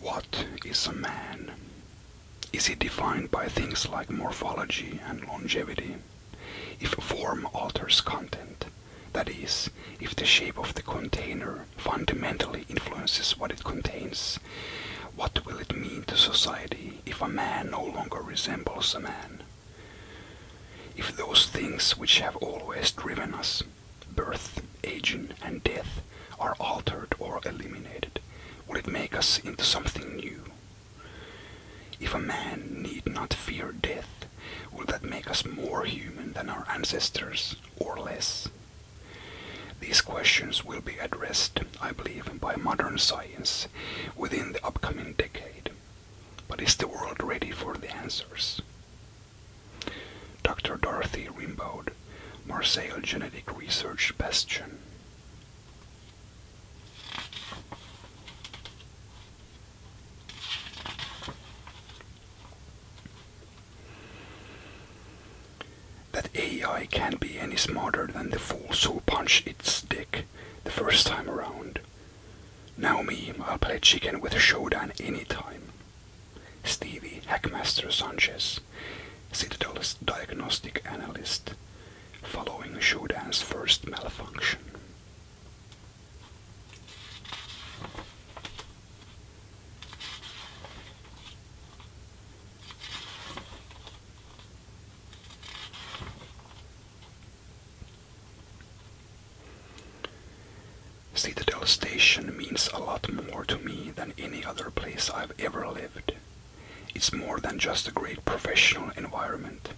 What is a man? Is he defined by things like morphology and longevity? If form alters content, that is, if the shape of the container fundamentally influences what it contains, what will it mean to society if a man no longer resembles a man? If those things which have always driven us, birth, aging, and death, are altered or eliminated, will it make us into something new? If a man need not fear death, will that make us more human than our ancestors, or less? These questions will be addressed, I believe, by modern science within the upcoming decade, but is the world ready for the answers? Dr. Dorothy Rimbaud, Marseille Genetic Research Bastion. That AI can not be any smarter than the fools who punch its dick the first time around. Now me, I'll play chicken with a showdown anytime. Stevie, Hackmaster Sanchez, Citadel's diagnostic analyst, following Showdown's first malfunction. Citadel Station means a lot more to me than any other place I've ever lived. It's more than just a great professional environment.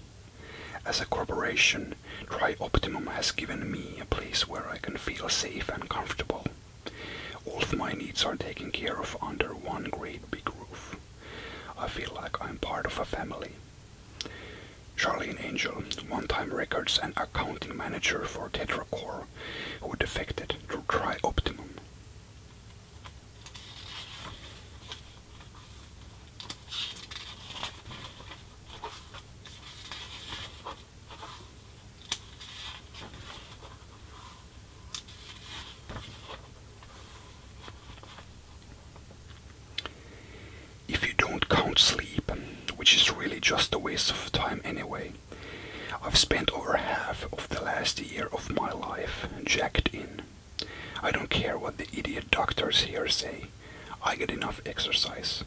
As a corporation, Tri Optimum has given me a place where I can feel safe and comfortable. All of my needs are taken care of under one great big roof. I feel like I'm part of a family. Charlene Angel, one-time records and accounting manager for Tetracore, who defected to try Optimum. If you don't count sleep, which is really just a waste of time anyway, I've spent over half of the last year of my life jacked in. I don't care what the idiot doctors here say, I get enough exercise.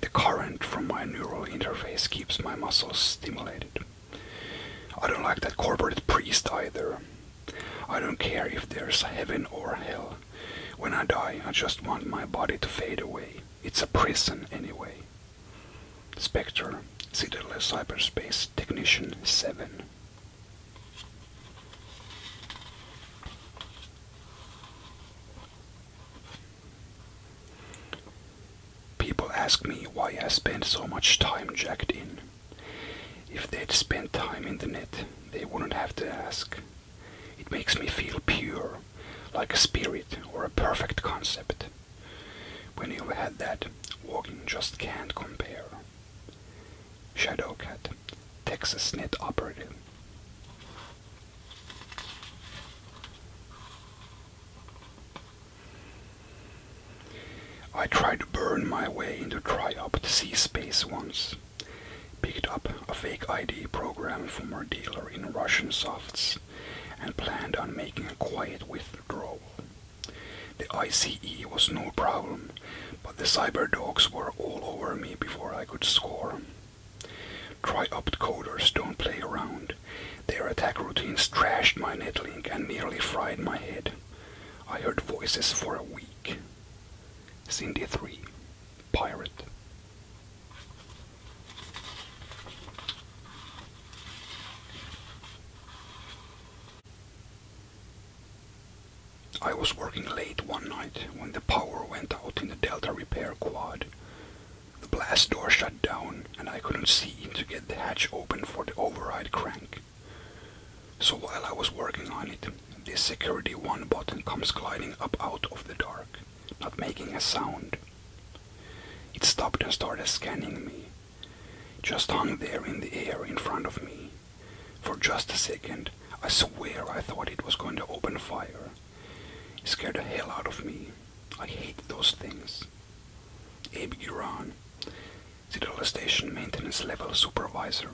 The current from my neural interface keeps my muscles stimulated. I don't like that corporate priest either. I don't care if there's heaven or hell. When I die, I just want my body to fade away. It's a prison anyway. Spectre, Citadel Cyberspace Technician 7. People ask me why I spend so much time jacked in. If they'd spent time in the net, they wouldn't have to ask. It makes me feel pure, like a spirit or a perfect concept. When you've had that, walking just can't compare. Shadowcat, Texas Net operator. I tried to burn my way into Triopt C Space once. Picked up a fake ID program from a dealer in Russian softs and planned on making a quiet withdrawal. The ICE was no problem, but the cyber dogs were all over me before I could score. Triopt coders don't play around. Their attack routines trashed my netlink and nearly fried my head. I heard voices for a week. Cindy 3, Pirate. I was working late one night when the power went out in the Delta Repair Quad. The blast door shut down and I couldn't see to get the hatch open for the override crank. So while I was working on it, this security one button comes gliding up out of the dark, not making a sound. It stopped and started scanning me. Just hung there in the air in front of me. For just a second, I swear I thought it was going to open fire. It scared the hell out of me. I hate those things. Abe the Citadel Station Maintenance Level Supervisor.